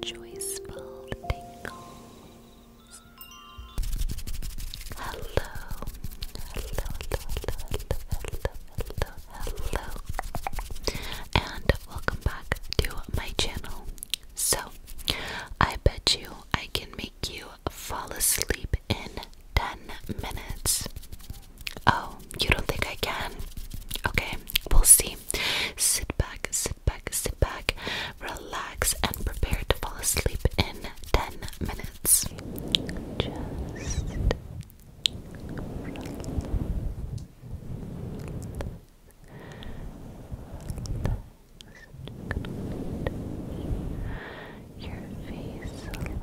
joyful tingles. Hello, hello, hello, hello, hello, hello, hello, and welcome back to my channel. So, I bet you I can make you fall asleep in 10 minutes. Oh, you don't think I can? Okay, we'll see. Sit back, sit back, sit back, relax, and prepare to fall asleep in 10 minutes. Just relax. Your face a little.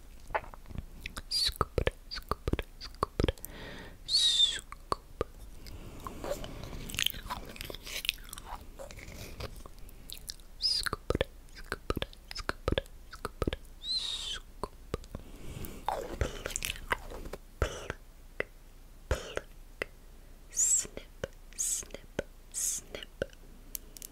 Scoop it, scoop it, scoop it, scoop. Scoop it, scoop it, scoop it, scoop it, scoop. Pluck, pluck, snip, snip, snip.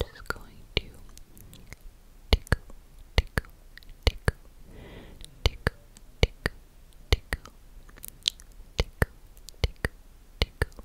Just going to tickle, tickle, tickle, tickle, tickle, tickle, tickle, tickle, tickle,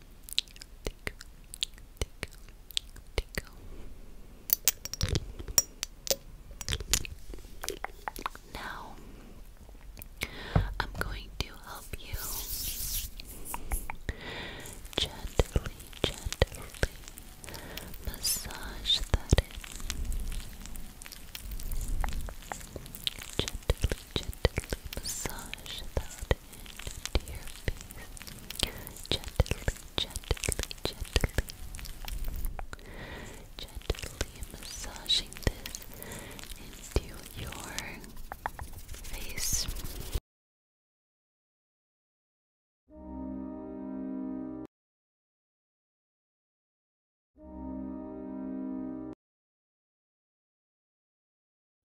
tickle, Now I'm going to help you gently, gently massage that in. Gently, gently massage that to your face gently, gently, gently gently massaging this into your face